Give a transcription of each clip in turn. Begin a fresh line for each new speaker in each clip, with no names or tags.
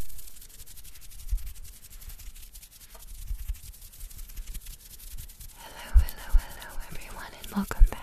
Hello, hello, hello, everyone, and welcome back.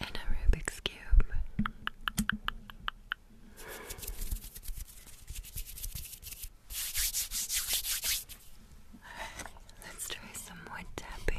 and a Rubik's Cube. let's try some more tapping.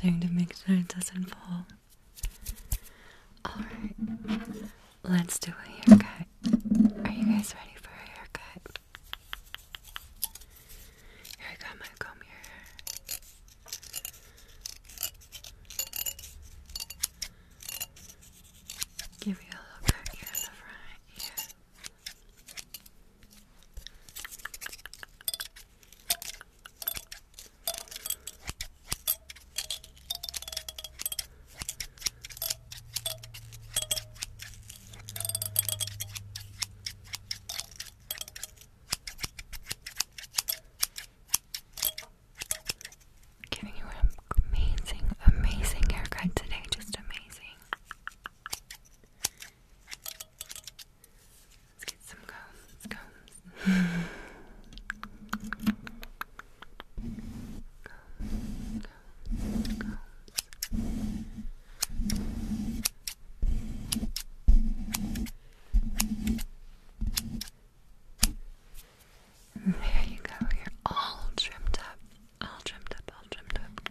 trying to make sure it doesn't fall. Alright, let's do a haircut. Are you guys ready for a haircut? I got my comb here. Give you a little cut here in the front here. Giving you an amazing, amazing haircut today, just amazing. Let's get some combs, combs. There you go. You're all trimmed up. All trimmed up, all trimmed up.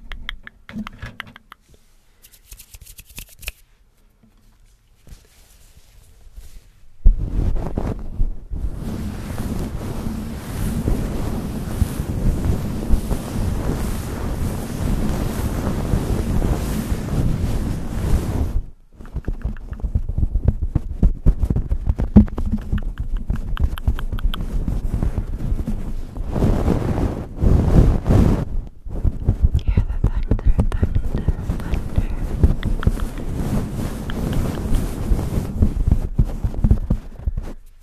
Hear the thunder, thunder, thunder.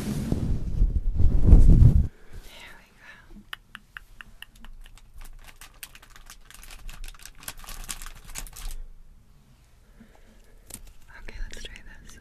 There we go. Okay, let's try this. Okay,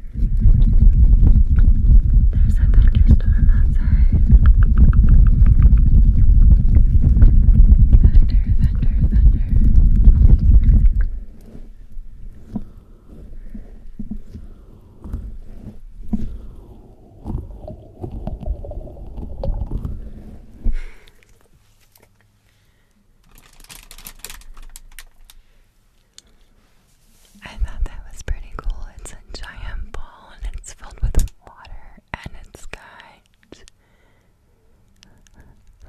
There's a thunderstorm outside. Thunder, thunder, thunder. I thought that was pretty cool. It's a giant ball and it's filled with water and it's got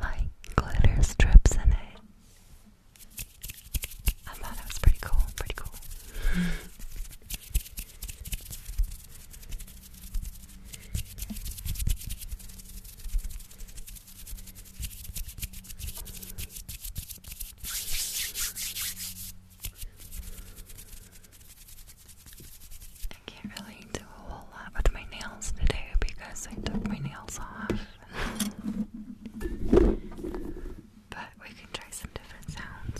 like glitter strips in it. I thought it was pretty cool, pretty cool. I can't really do a whole lot with my nails today because I took my nails off. but we can try some different sounds.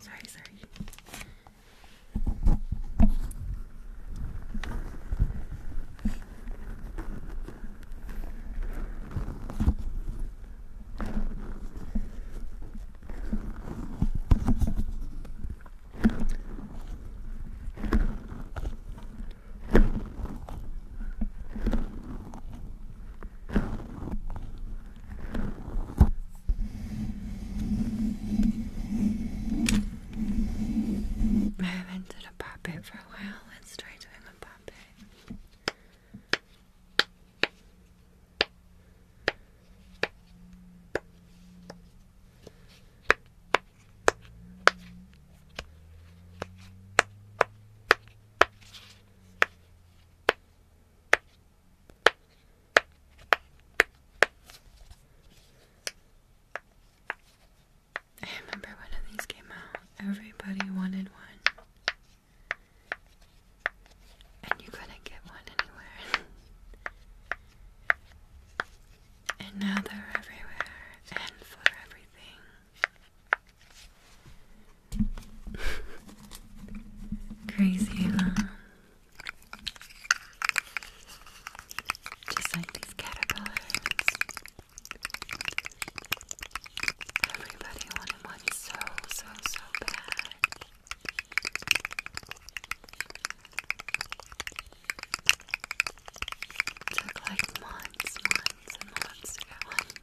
sorry, sorry. I haven't done a puppet for a while. Let's try doing a puppet. I remember when these came out, everybody wanted one. And you couldn't get one anywhere. and now they're everywhere and for everything. Crazy, huh? Just like these caterpillars. Everybody wanted one so, so, so bad. took like months, months, and months to get one.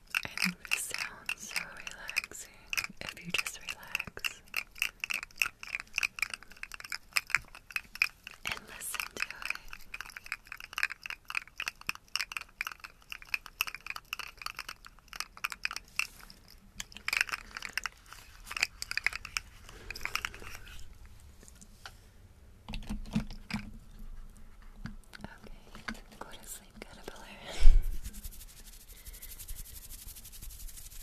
I think sounds so relaxing if you just relax and listen to it. Okay, sleep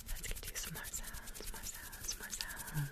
Let's get you some more sounds, more sounds, more sounds.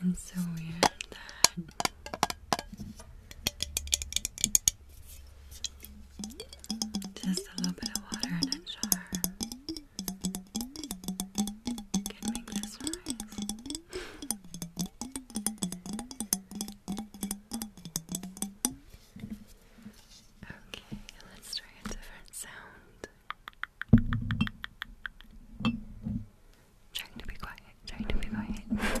And so weird that just a little bit of water in a jar can make this rise. Okay, let's try a different sound. Trying to be quiet, trying to be quiet.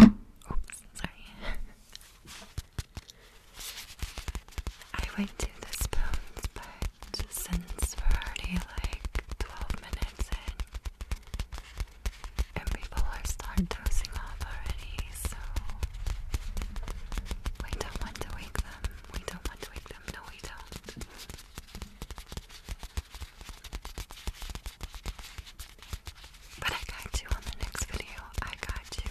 Oops, sorry. I went to the spoons, but since we're already like 12 minutes in, and people are start dozing off already, so we don't want to wake them. We don't want to wake them. No, we don't. But I got you on the next video. I got you.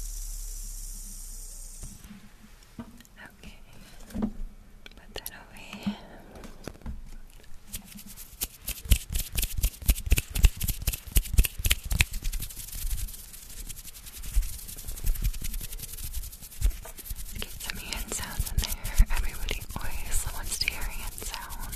Okay, put that away. Get some hand sounds in there. Everybody always wants to hear hand sounds.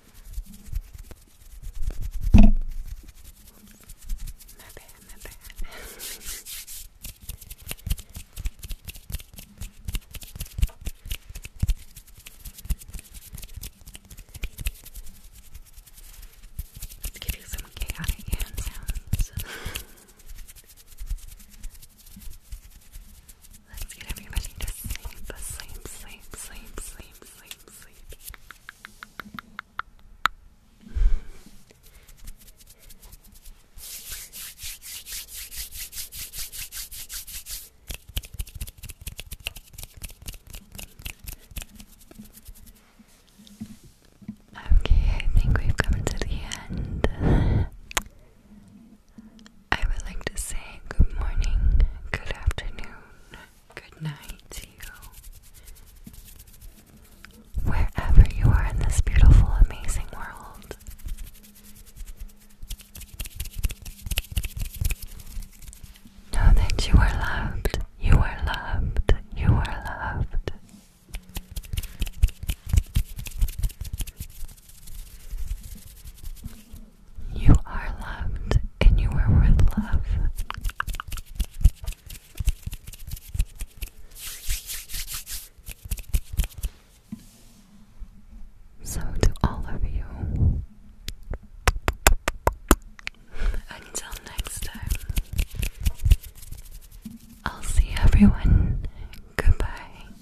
My Let's give you some chaotic hand Let's get everybody to sleep, sleep, sleep, sleep, sleep, sleep, sleep. Okay, I think we've come to the end. I would like to say good morning, good afternoon, good night to you. Wherever you are in this beautiful, amazing world. Know that you are loved, you are loved, you are loved. You are loved and you are worth love. So, to all of you, until next time, I'll see everyone. Goodbye.